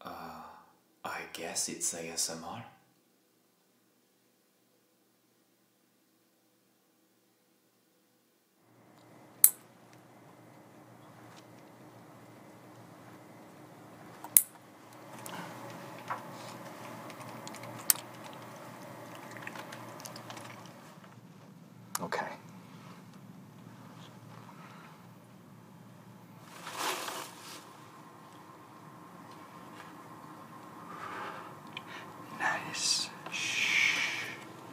Uh, I guess it's ASMR. Okay. Nice. Shh.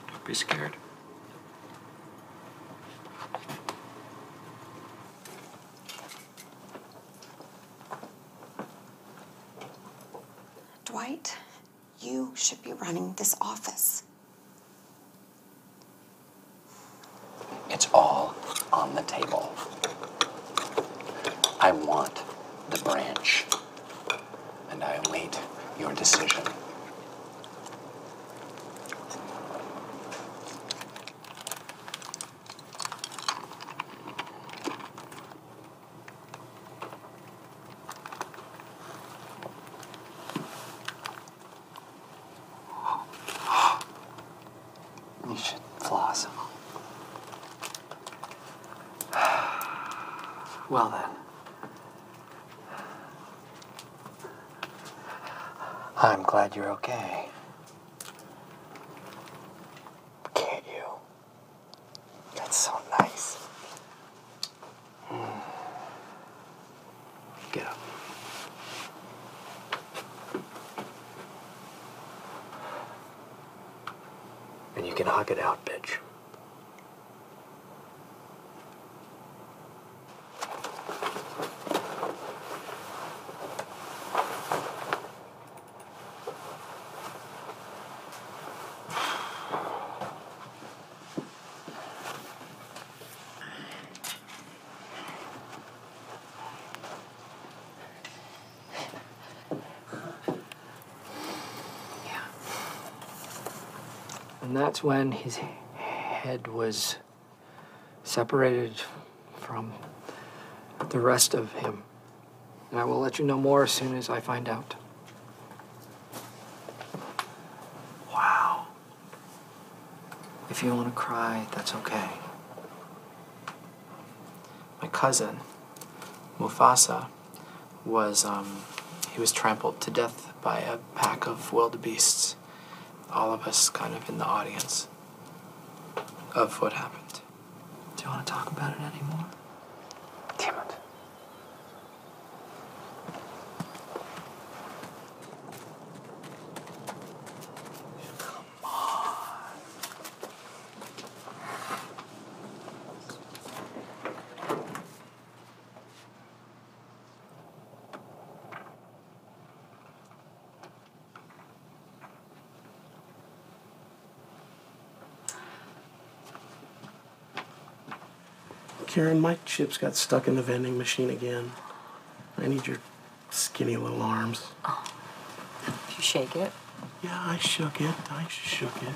Don't be scared. Dwight, you should be running this office. It's all on the table. I want the branch, and I await your decision. You should floss. Well then. I'm glad you're okay. Can't you? That's so nice. Get up. And you can hug it out, bitch. And that's when his head was separated from the rest of him. And I will let you know more as soon as I find out. Wow. If you want to cry, that's okay. My cousin, Mufasa, was um, he was trampled to death by a pack of wildebeests. All of us kind of in the audience of what happened. Do you want to talk about it anymore? Damn it. Come on. Karen, my chips got stuck in the vending machine again. I need your skinny little arms. Oh. You shake it? Yeah, I shook it. I shook it.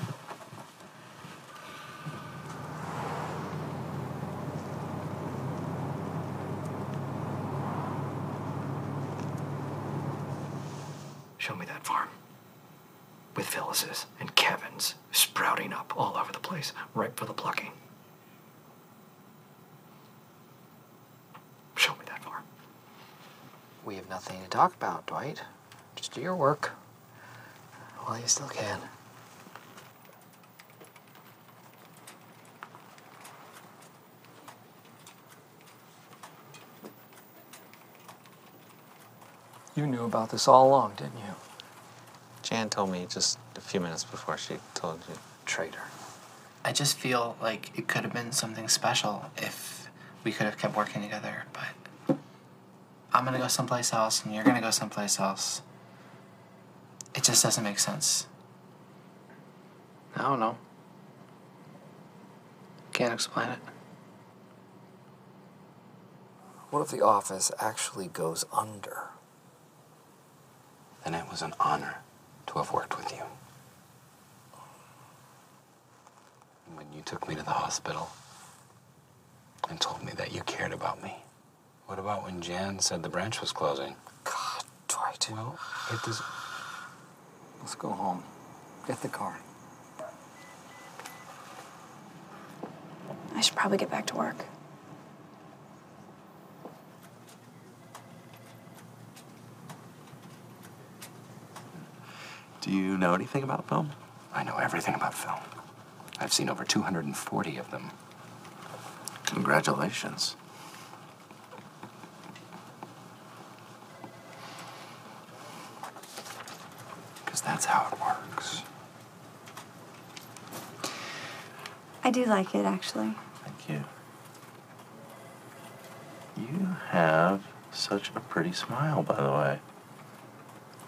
Show me that farm. With Phyllis's and Kevin's sprouting up all over the place, right for the plucking. Show me that far. We have nothing to talk about, Dwight. Just do your work while you still can. You knew about this all along, didn't you? Jan told me just a few minutes before she told you. Traitor. I just feel like it could have been something special if we could have kept working together, but I'm gonna go someplace else and you're gonna go someplace else. It just doesn't make sense. I don't know. Can't explain it. What if the office actually goes under? then it was an honor to have worked with you. And when you took me to the hospital and told me that you cared about me, what about when Jan said the branch was closing? God, Dwight. Well, it does. Let's go home. Get the car. I should probably get back to work. Do you know anything about film? I know everything about film. I've seen over 240 of them. Congratulations. Because that's how it works. I do like it, actually. Thank you. You have such a pretty smile, by the way.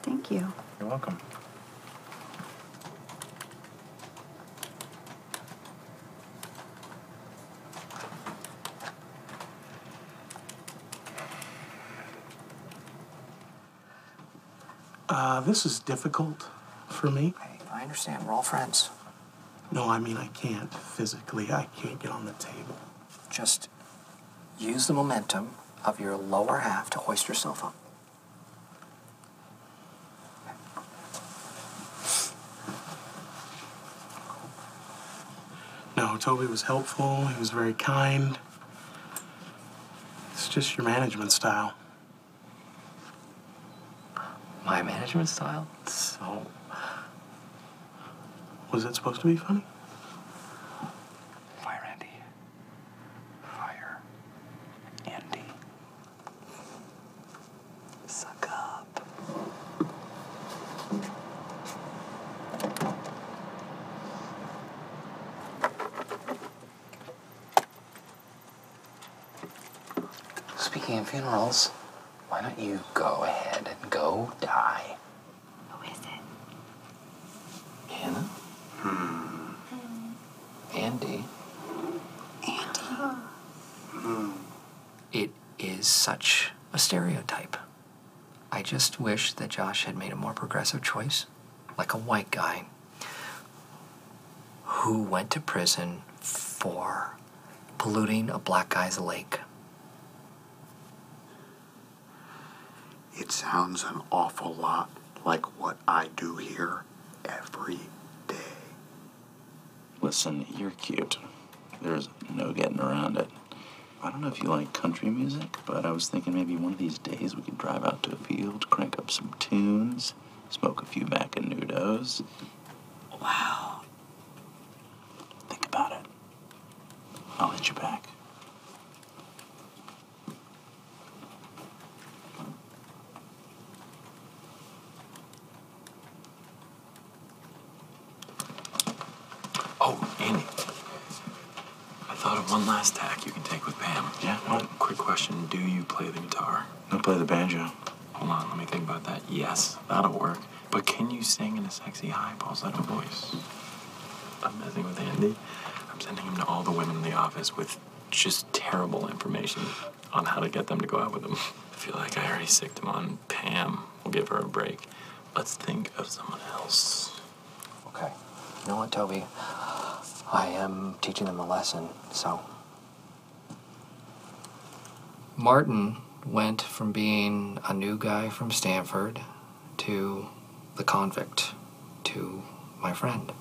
Thank you. You're welcome. Uh, this is difficult for me. I understand. We're all friends. No, I mean, I can't physically. I can't get on the table. Just use the momentum of your lower half to hoist yourself up. No, Toby was helpful. He was very kind. It's just your management style. My management style? So. Was that supposed to be funny? Fire Andy. Fire Andy. Suck up. Speaking of funerals, why don't you go ahead and go die? Who is it? Hannah? Hmm. hmm. Andy. Andy? Hmm. It is such a stereotype. I just wish that Josh had made a more progressive choice like a white guy who went to prison for polluting a black guy's lake. It sounds an awful lot like what I do here every day. Listen, you're cute. There's no getting around it. I don't know if you like country music, but I was thinking maybe one of these days we could drive out to a field, crank up some tunes, smoke a few Macanudos. Wow. Think about it. I'll hit you back. Oh, Andy. I thought of one last tack you can take Pam. Yeah. quick question: Do you play the guitar? I play the banjo. Hold on, let me think about that. Yes, that'll work. But can you sing in a sexy high pitched little voice? I'm messing with Andy. I'm sending him to all the women in the office with just terrible information on how to get them to go out with him. I feel like I already sicked him on Pam. We'll give her a break. Let's think of someone else. Okay you know what, Toby? I am teaching them a lesson, so. Martin went from being a new guy from Stanford to the convict to my friend.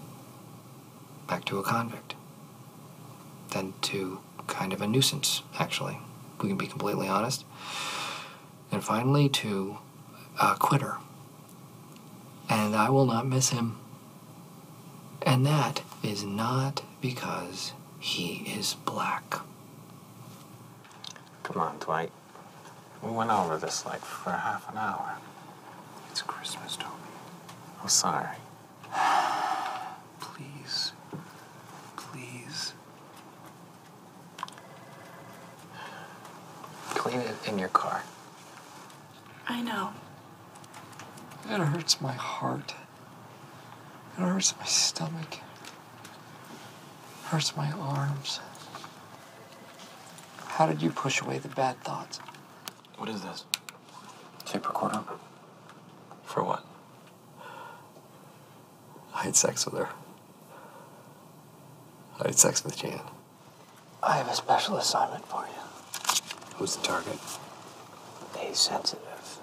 Back to a convict. Then to kind of a nuisance, actually. We can be completely honest. And finally to a quitter and I will not miss him. And that is not because he is black. Come on, Dwight. We went over this like for half an hour. It's Christmas, Toby. I'm sorry. please. Please. Clean it in your car. I know. It hurts my heart. It hurts my stomach. hurts my arms. How did you push away the bad thoughts? What is this? Tape recorder. For what? I had sex with her. I had sex with Jane. I have a special assignment for you. Who's the target? A sensitive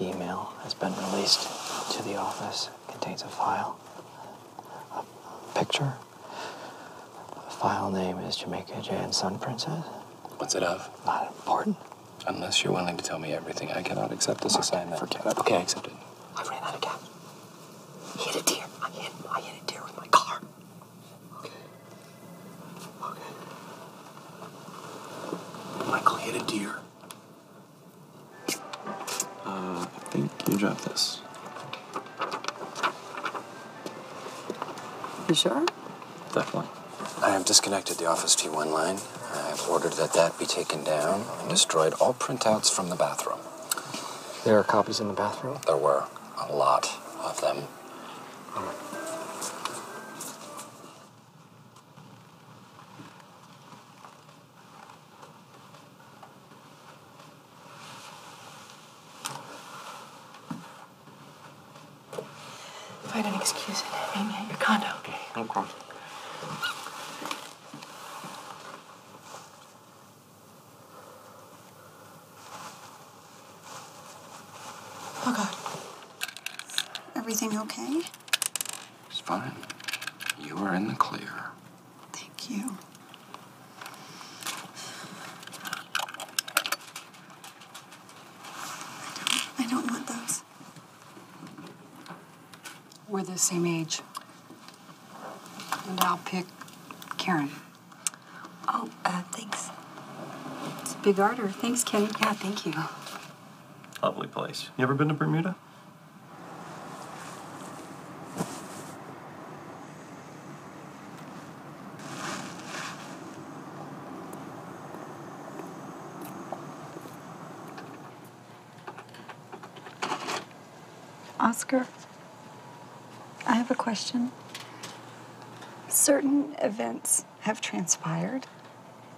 email has been released to the office. contains a file, a picture. The file name is Jamaica J and Sun Princess. What's it of? Not important. Unless you're willing to tell me everything, I cannot accept this assignment. Forget it. Okay, I accept it. I ran out of gas. hit a deer. I hit, I hit a deer with my car. Okay. Okay. Michael hit a deer. Uh, I think you dropped this. You sure? Definitely. I have disconnected the Office T1 line. I've ordered that that be taken down and destroyed all printouts from the bathroom. There are copies in the bathroom? There were a lot of them. Find an excuse and meet at your condo, okay? No problem. Oh, God. Everything okay? It's fine. You are in the clear. Thank you. I don't, want those. We're the same age. And I'll pick Karen. Oh, uh, thanks. It's a Big Ardor. Thanks, Ken. Yeah, thank you. Lovely place. You ever been to Bermuda? Oscar. I have a question. Certain events have transpired,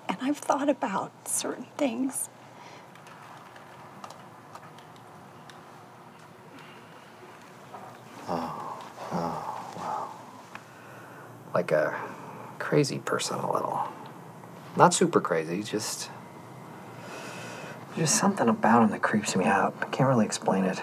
and I've thought about certain things. Oh, oh, wow. Like a crazy person, a little. Not super crazy, just. There's just something about him that creeps me out. I can't really explain it.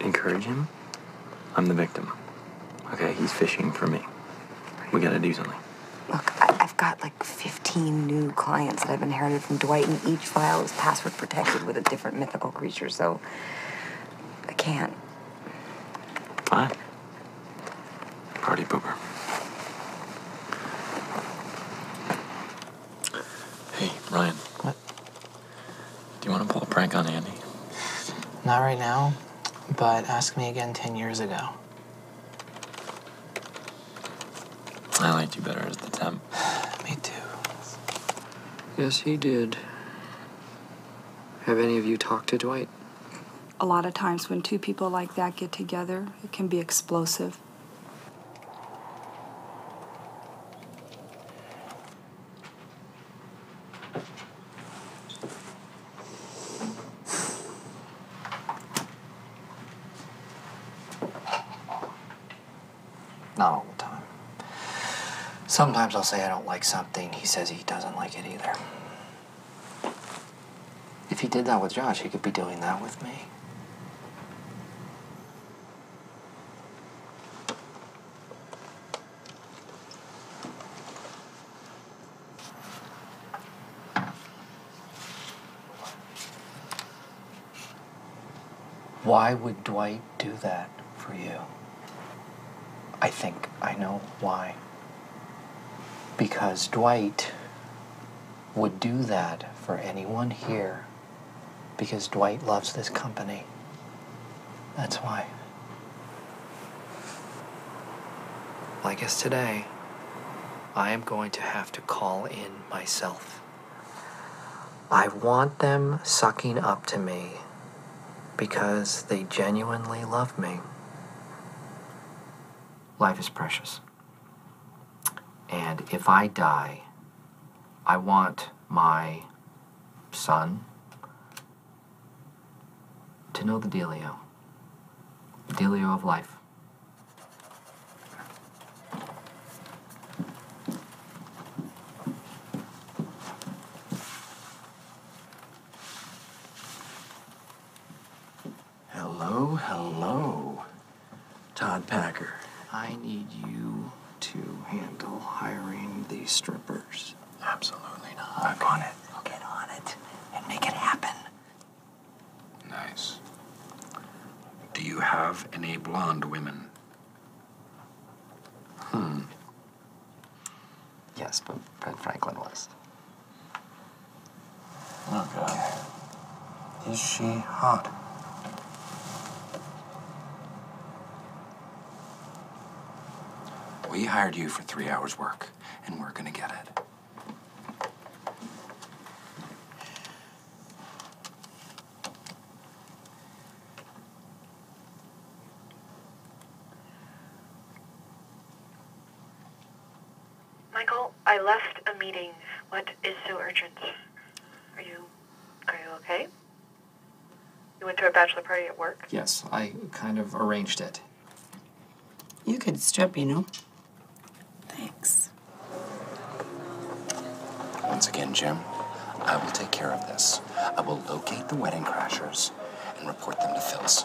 encourage him, I'm the victim. Okay, he's fishing for me. We gotta do something. Look, I- have got like 15 new clients that I've inherited from Dwight, and each file is password protected with a different mythical creature, so I can't. Fine. Party pooper. Hey, Ryan. What? Do you want to pull a prank on Andy? Not right now, but ask me again 10 years ago. I liked you better as the temp. me too. Yes, he did. Have any of you talked to Dwight? A lot of times when two people like that get together, it can be explosive. Not all the time. Sometimes I'll say I don't like something, he says he doesn't like it either. If he did that with Josh, he could be doing that with me. Why would Dwight do that for you? I think I know why. Because Dwight would do that for anyone here because Dwight loves this company. That's why. I guess today, I am going to have to call in myself. I want them sucking up to me because they genuinely love me. Life is precious. And if I die, I want my son to know the Delio, Delio of life. Hello, hello. Todd Packer. I need you to handle hiring these strippers. Absolutely not. I'm on it. I'll get on it and make it happen. Nice. Do you have any blonde women? Hmm. Yes, but Ben Franklin was. Okay. Oh, is she hot? We hired you for three hours' work, and we're gonna get it. Michael, I left a meeting. What is so urgent? Are you are you okay? You went to a bachelor party at work? Yes, I kind of arranged it. You could strip, you know. Thanks. Once again, Jim, I will take care of this. I will locate the wedding crashers and report them to Phil's.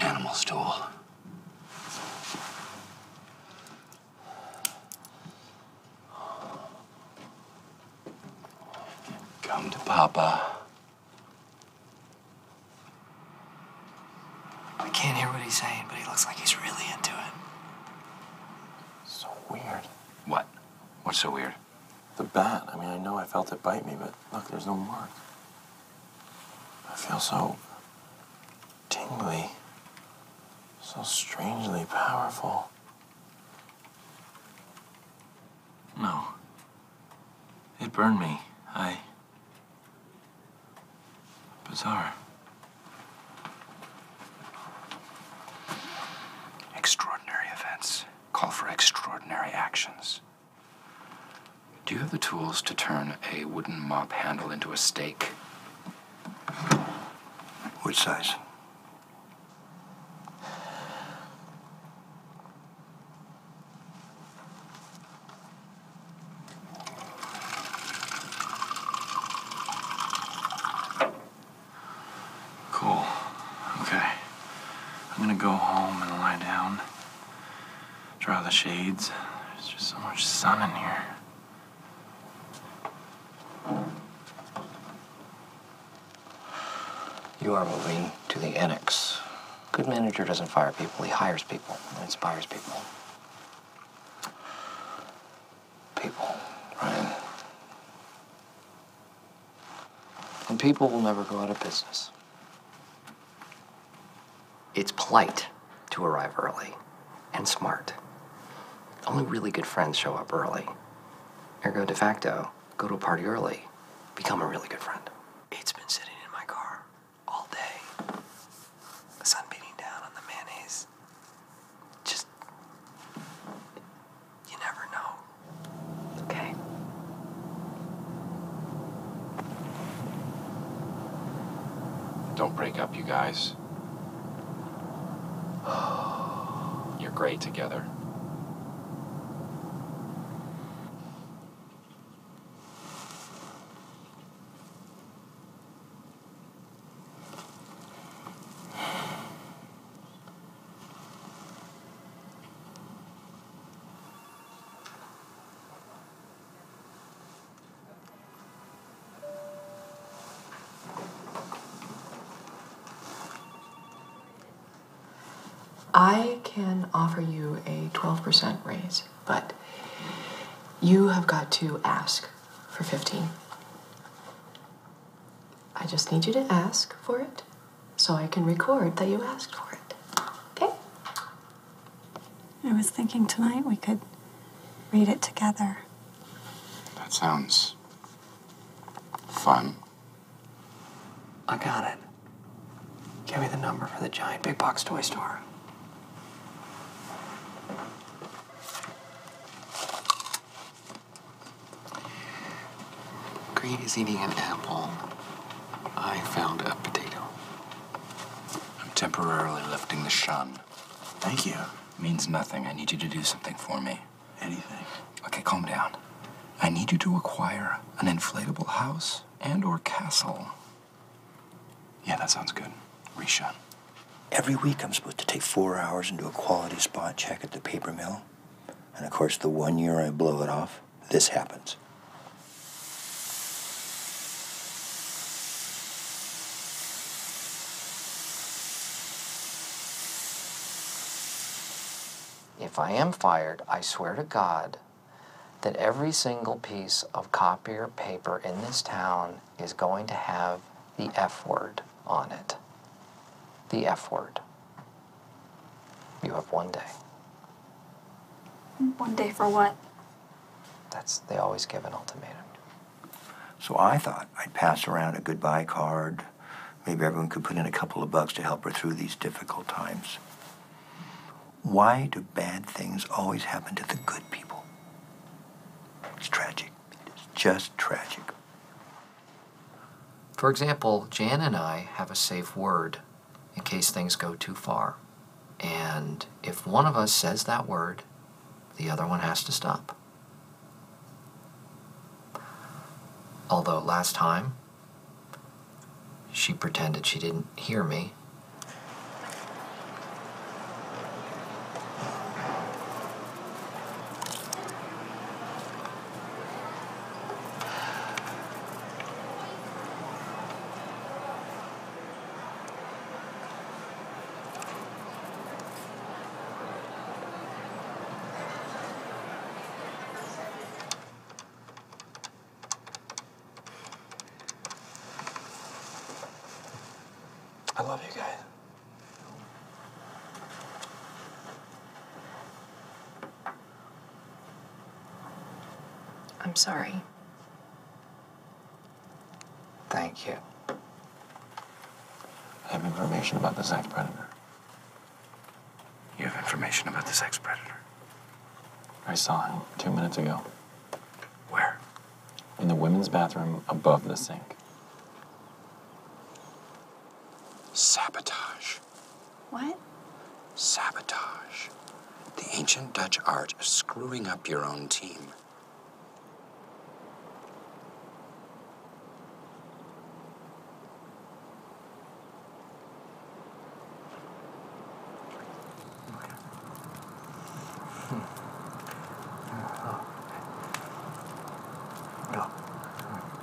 Animal stool. Come to Papa. I can't hear what he's saying, but he looks like he's really into it. So weird. What? What's so weird? The bat, I mean, I know I felt it bite me, but look, there's no mark. I feel so tingly, so strangely powerful. No. It burned me. I. Bizarre. Extraordinary events call for extraordinary actions. Do you have the tools to turn a wooden mop handle into a stake? Which size? Cool. Okay. I'm gonna go home and lie down. Draw the shades. There's just so much sun in here. You are moving to the annex. Good manager doesn't fire people, he hires people and inspires people. People, Ryan. And people will never go out of business. It's polite to arrive early and smart. Only really good friends show up early. Ergo de facto, go to a party early, become a really good friend. It's been sitting in my car all day, the sun beating down on the mayonnaise. Just you never know. Okay. Don't break up, you guys. You're great together. I can offer you a 12% raise, but you have got to ask for 15. I just need you to ask for it so I can record that you asked for it. Okay? I was thinking tonight we could read it together. That sounds fun. I got it. Give me the number for the giant big box toy store. Green is eating an apple. I found a potato. I'm temporarily lifting the shun. Thank you. means nothing. I need you to do something for me. Anything. Okay, calm down. I need you to acquire an inflatable house and or castle. Yeah, that sounds good. Reshun. Every week I'm supposed to take four hours and do a quality spot check at the paper mill. And of course, the one year I blow it off, this happens. If I am fired, I swear to God that every single piece of copier paper in this town is going to have the F word on it. The F word. You have one day. One day for what? That's, they always give an ultimatum. So I thought I'd pass around a goodbye card. Maybe everyone could put in a couple of bucks to help her through these difficult times. Why do bad things always happen to the good people? It's tragic. It's just tragic. For example, Jan and I have a safe word in case things go too far. And if one of us says that word, the other one has to stop. Although last time, she pretended she didn't hear me. I love you guys. I'm sorry. Thank you. I have information about the sex predator. You have information about the sex predator? I saw him two minutes ago. Where? In the women's bathroom above the sink. Sabotage. What? Sabotage. The ancient Dutch art of screwing up your own team. No. Hmm.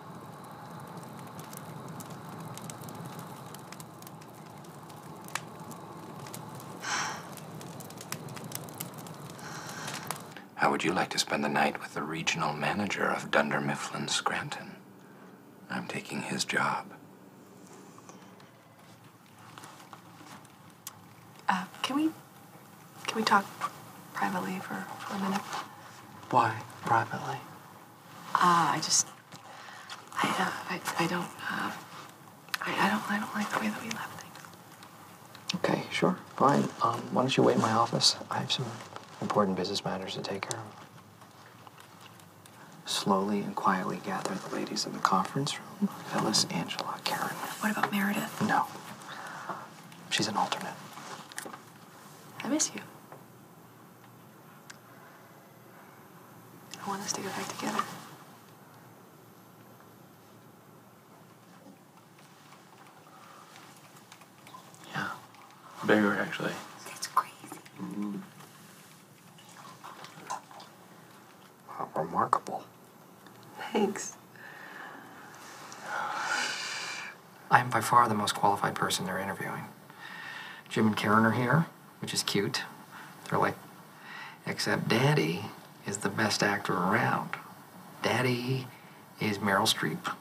How would you like to spend the night with the regional manager of Dunder Mifflin Scranton? I'm taking his job. Uh, can we, can we talk privately for, for a minute? Why privately? Ah, I just I, uh, I, I don't, uh, I, I don't, I don't like the way that we left things. Okay, sure, fine. Um, why don't you wait in my office? I have some important business matters to take care of. Slowly and quietly gather the ladies in the conference room. Phyllis, Angela, Karen. What about Meredith? No. She's an alternate. I miss you. I want us to get back together. Yeah, bigger actually. That's crazy. Mm-hmm. remarkable. Thanks. I am by far the most qualified person they're interviewing. Jim and Karen are here, which is cute. They're like, except Daddy is the best actor around. Daddy is Meryl Streep.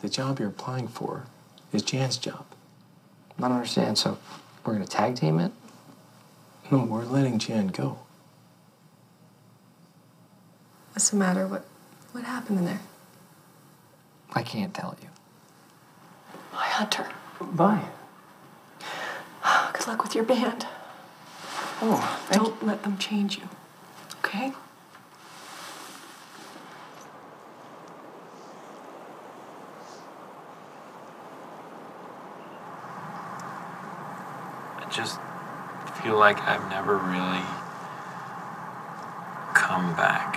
The job you're applying for is Jan's job. I don't understand. So we're going to tag team it? No, we're letting Jan go. What's the matter? What, what happened in there? I can't tell you. Hi, Hunter. Bye. Good luck with your band. Oh, don't let them change you. Okay? I just feel like I've never really come back.